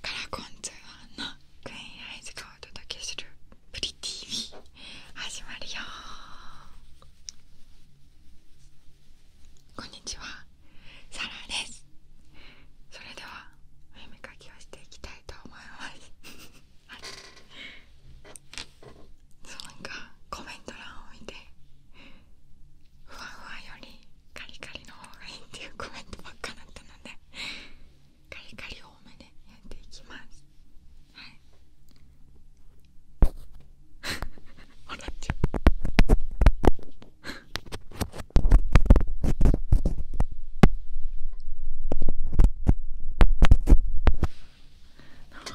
からこんちのクイーンアイズがお届けするプリ TV こんにちはサラですそれではお読み書きをしていきたいと思います、は い、なんかコメント欄を見てふわふわよりカリカリの方がいいっていうコメントばっかだったのでカリカリ多めでやっていきますはい 笑っちゃうなんか違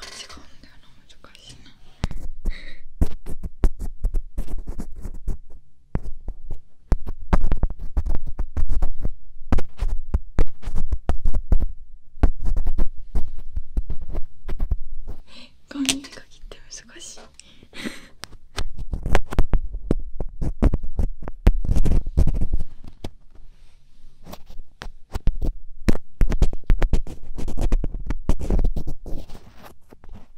うんだよな難しいな顔に手かきって難しい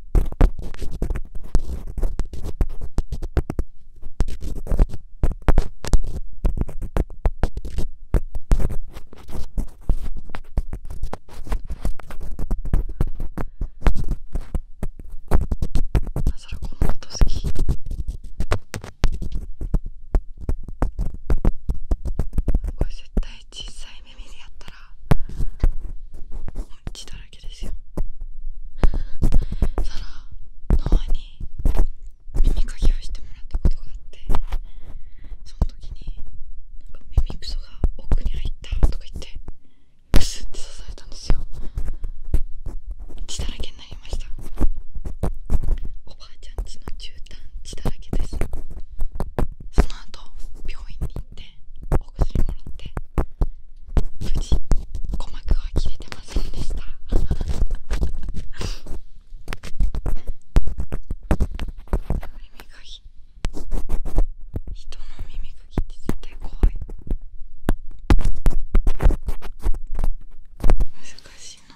これ絶対小さい耳でやったら血だらけですよさらノアに耳かきをしてもらったことがあってその時になんか耳くそが奥に入ったとか言ってブスって刺されたんですよ血だらけになりましたおばあちゃんちの絨毯血だらけですその後病院に行ってお薬もらって無事鼓膜は切れてませんでした耳かき人の耳かきって絶対怖い難しいな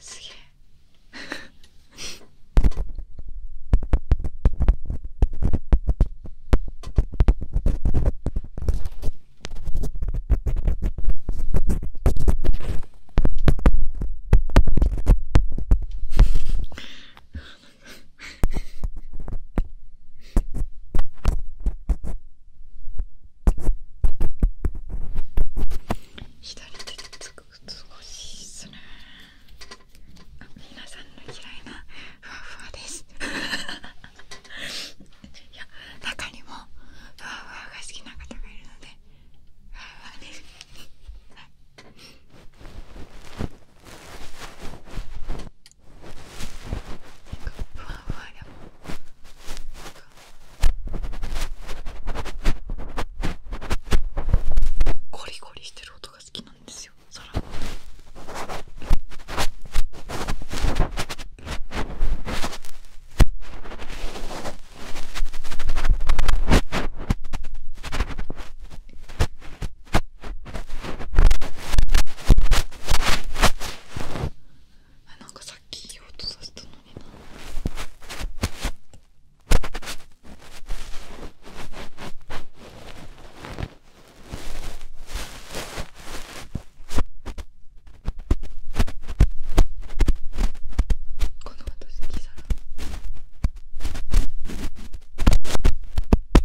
すげえ左手でつくごしですねあ皆さんの嫌いなふわふわです いや中にもふわふわが好きな方がいるのでふわふわですはいなんかふわふわやゴリゴリしてる音が好きなんですよ空のこあなんかさっき言おうとさせたのになこの音好きさら。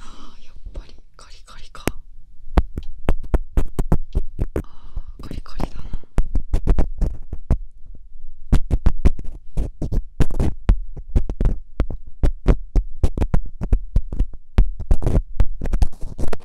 あーやっぱりカリカリかあーカリカリだな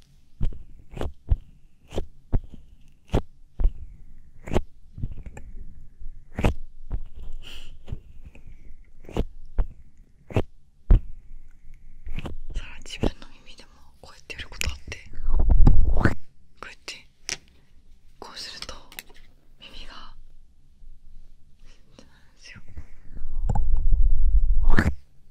そら自分の耳でもこうやってやることあってこうやってこうすると耳がそうなんですよ。楽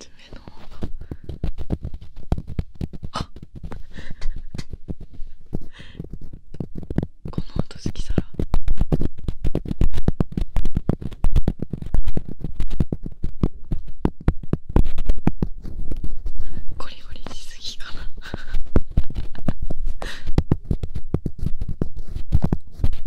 してあっこの音好きさらゴリゴリしすぎかな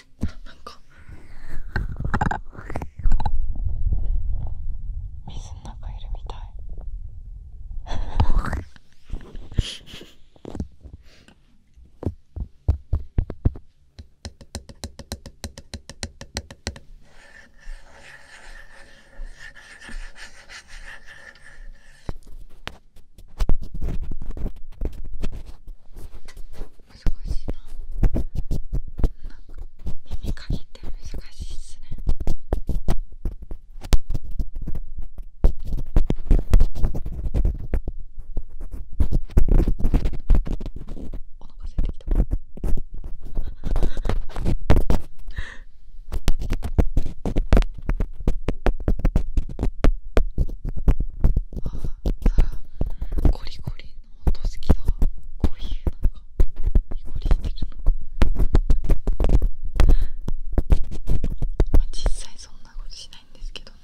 なんか水の中いるみたい難しいななんか耳かきって難しいっすねお腹すいてきたあああさゴリコリの音好きだこういうなんかゴリゴリしてるのまあ実際そんなことしないんですけどね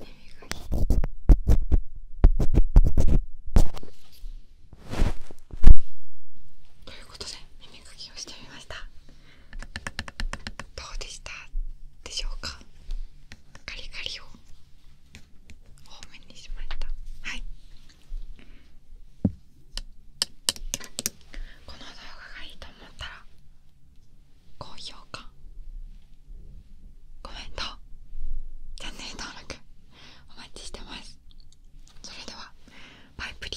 耳かきということで耳かきをしてみましたどうでしたでしょうかカリカリを多めにしましたはいこの動画がいいと思ったら高評価コメントチャンネル登録お待ちしてますそれではバイプリー